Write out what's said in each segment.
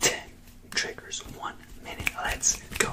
Ten triggers, one minute. Let's go.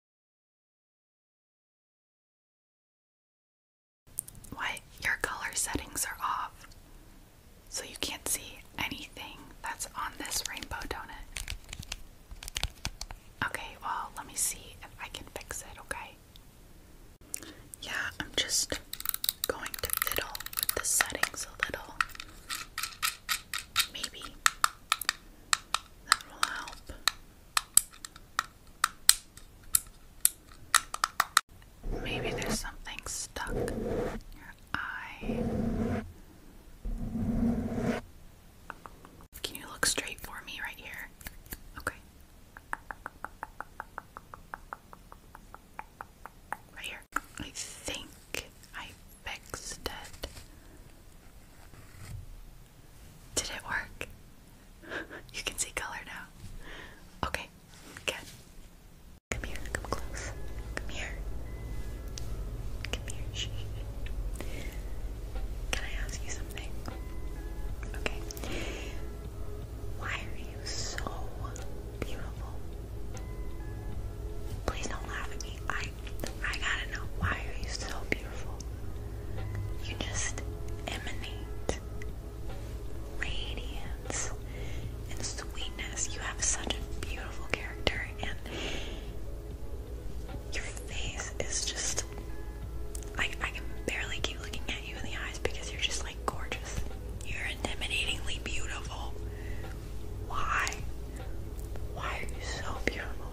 What? Your color settings are off. So you can't see anything that's on this rainbow donut. Okay, well, let me see if I can fix it, okay? Yeah, I'm just going to fiddle with the settings a little. Maybe that will help. Maybe there's something stuck in your eye. Can you look straight for me right here? Okay. Right here. I think I fixed it. Did it work? you can see color now. Okay, good. Come here, come close. Come here. Come here. Shh. Can I ask you something? Okay. Why are you so beautiful? Please don't laugh at me. I I gotta know why are you so beautiful? You just emanate radiance and sweetness. You have such a beautiful character and your face is just I can barely keep looking at you in the eyes because you're just like gorgeous. You're intimidatingly beautiful. Why? Why are you so beautiful?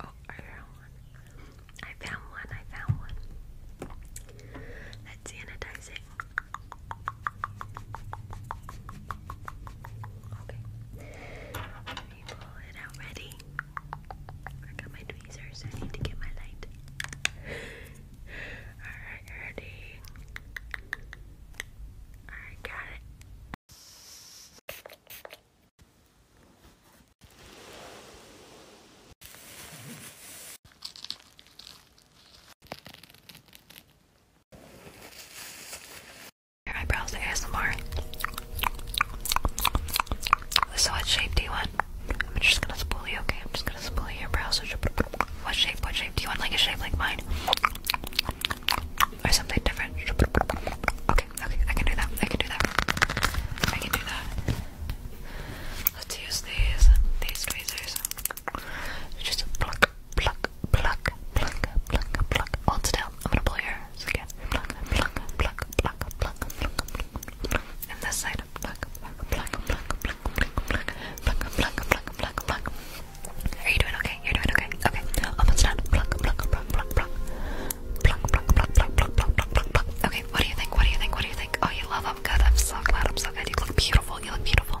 Oh, I found one. I found one. I found Okay. Let me pull out ready. I got my tweezers. I need to get my light. Alright, ready. I got it. Your eyebrows to ASMR. So what shape do you want? I'm just gonna spool you, okay? I'm just gonna spool your brows. What shape, what shape? Do you want like a shape like mine? or something different. Okay, okay, I can do that. I can do that. I can do that. Let's use these these tweezers. Just pluck, pluck, pluck, pluck, pluck, pluck. Hold still. I'm gonna blow your again. Pluck, pluck, pluck, pluck, pluck, pluck, pluck, pluck, pluck, pluck, pluck, pluck, pluck, pluck, pluck, pluck, pluck. Are you doing okay? You're doing okay. Okay. Oh, Almost done. Pluck, pluck, pluck, pluck, pluck. Pluck, pluck, pluck, pluck, pluck, pluck, pluck, pluck. Okay, what do you think? What do you think? What do you think? Oh, you love them. Good. I'm so glad. I'm so glad. You look beautiful. You look beautiful.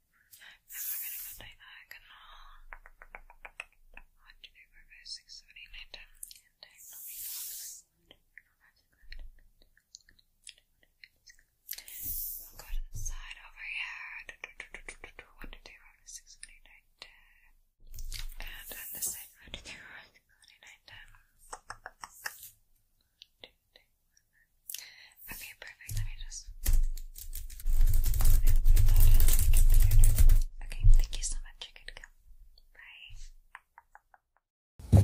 And we One, two, three, four, five, six, seven, eight, nine, ten. go to the side over here. One, two, three, four, five, six, seven, eight, nine, ten. And on this side, one, two, three, four, five, six, seven, Okay, perfect. Let me just Okay, thank you so much. You're go. Bye.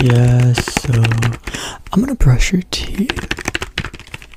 Yeah, so I'm gonna brush your teeth.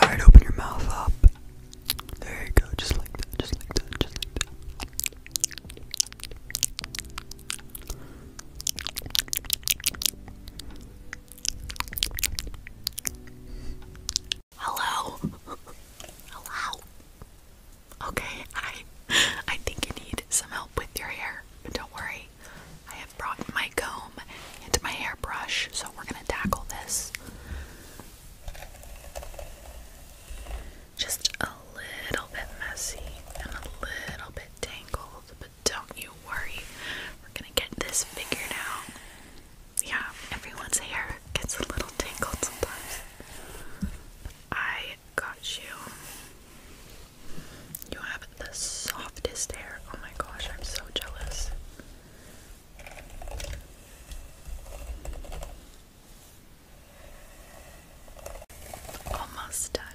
Alright, open your mouth up. There you go, just like that, just like that, just like that. Hello? Hello? Okay, I I think you need some help with your hair. but Don't worry. I have brought my comb and my hairbrush, so we're gonna tackle this. Just a little bit messy and a little bit tangled, but don't you worry, we're gonna get this figured out. Yeah, everyone's hair gets a little tangled sometimes. I got you. You have the softest hair. Oh my gosh, I'm so jealous. Almost done.